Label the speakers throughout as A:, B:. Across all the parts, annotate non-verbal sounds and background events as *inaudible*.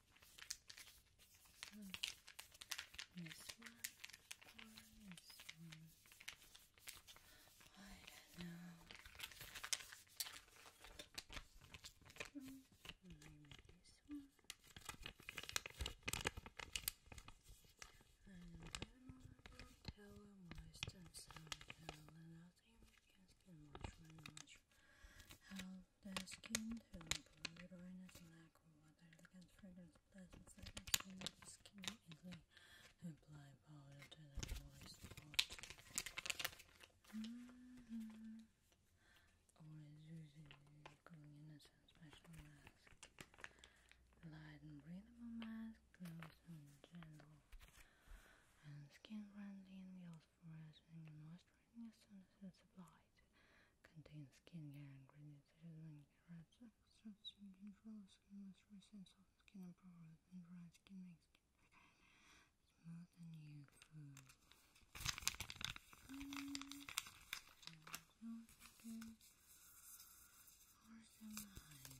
A: So, this one this one? I know. this one. And then tell moist and sound tell nothing because the much, much how the skin tone brightness black water elegant fragrance pleasant satisfaction of the skin easily apply powder to the moist spot always using the going innocent special mask light and breathable mask close and gentle and skin friendly and will moisturizing and moisturizing as soon as it's applied. Contains skincare ingredients such as red extracts, control skin moisturizing, skin improvement, and dry skin makes skin smooth and youthful. And and or patches.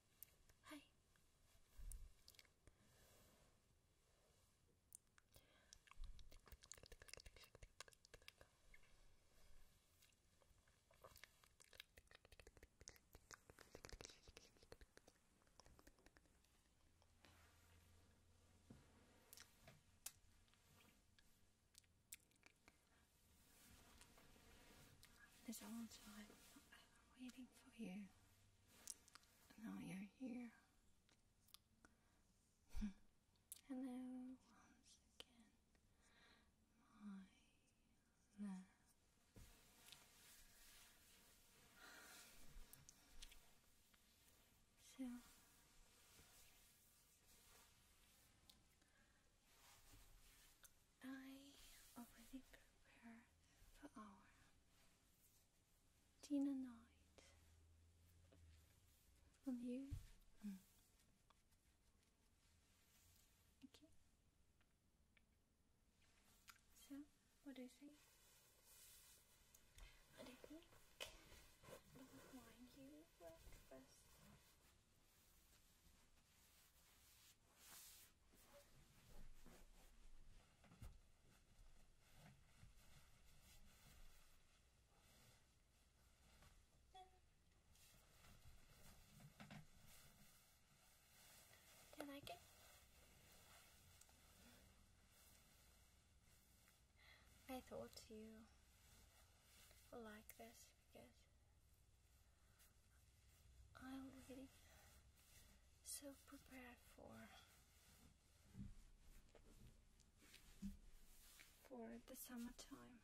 A: Hi. There's a time I've waiting for you. Now you're here. *laughs* Hello, once again, my love. So, I already prepared for our Tina Knight. And you? Mm. Okay. So, what do you think? I don't think you work do you like it? I thought you would like this because I'm so prepared for for the summertime.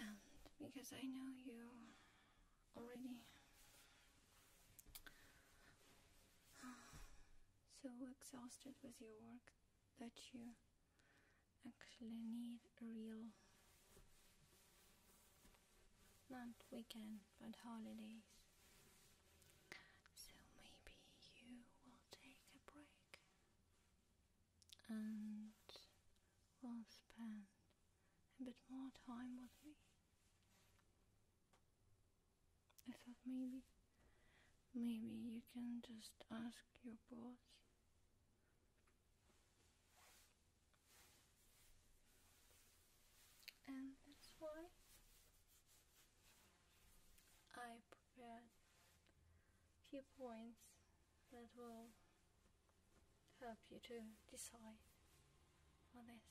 A: And because I know you already *sighs* so exhausted with your work that you actually need a real not weekend but holidays. So maybe you will take a break and will spend a bit more time with me. I thought maybe maybe you can just ask your boss and that's why I prepared few points that will help you to decide for this.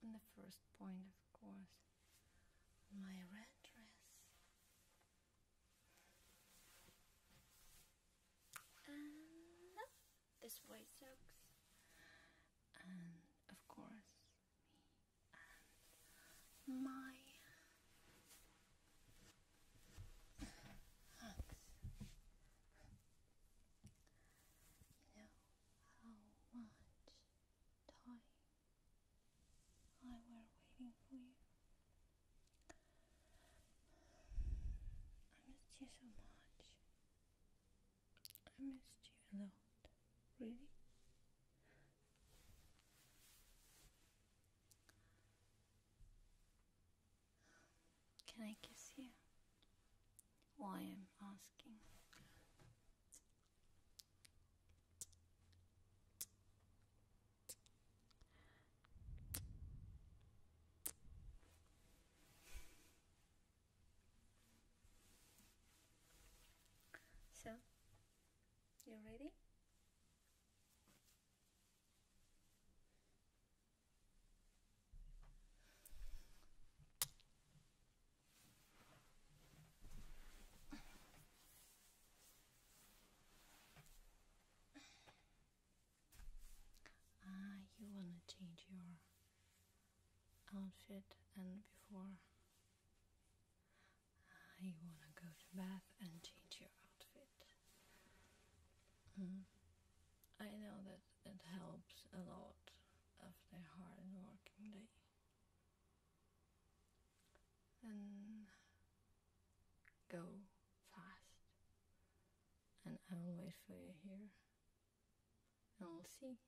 A: And the first point, of course, my red dress and this white and of course me and my hugs you know how much time I were waiting for you I missed you so much. I missed you a lot, really. Can I kiss you? Why I'm asking. So, you ready? Ah, you wanna change your outfit and before ah, you wanna go to bath and change your outfit. Hmm. I know that it helps a lot after a hard working day. And Go fast. And I will wait for you here. And we'll see.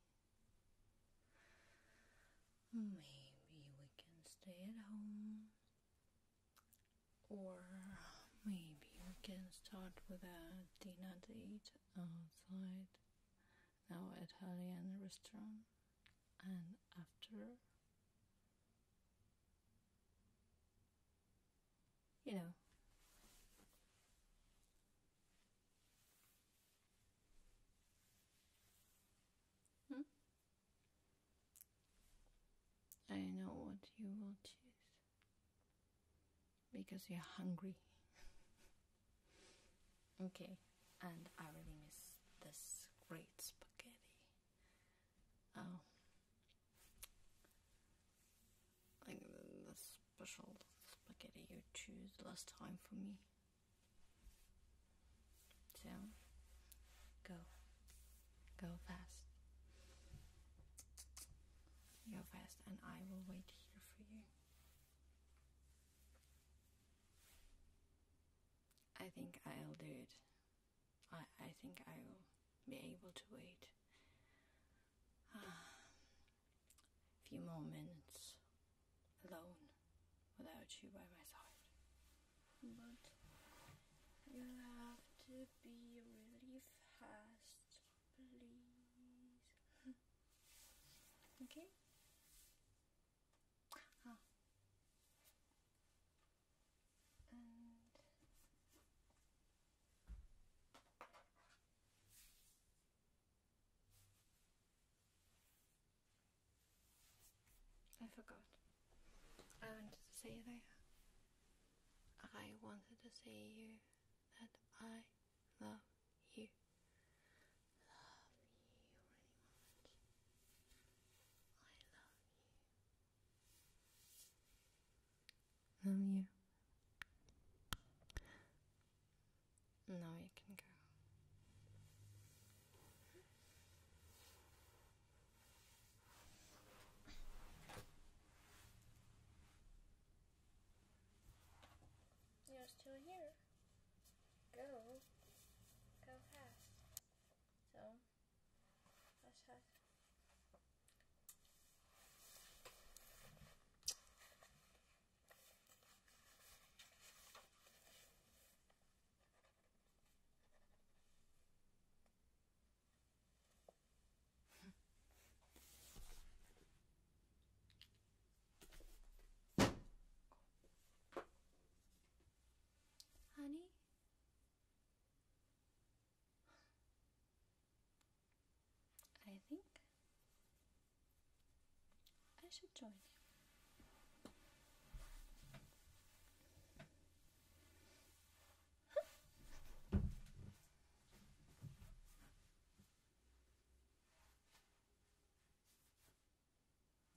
A: Maybe we can stay at home. Or maybe we can start with a dinner date outside. Now Italian restaurant. And after you know. Hmm? I know what you will choose because you're hungry. *laughs* okay, and I really miss this great spaghetti. Oh. Like the, special spaghetti you choose last time for me. So, go. Go fast. Go fast, and I will wait here for you. I think I'll do it I, I think I will be able to wait um, a few moments alone without you by my side. But you'll have to be really fast, please. *laughs* okay? Ah. I forgot. I wanted to say that I wanted to say you that I Love you. I love you. Love you. Now you can go. You're still here. Go. Go fast. So, that's *laughs* Honey? I think I should join you.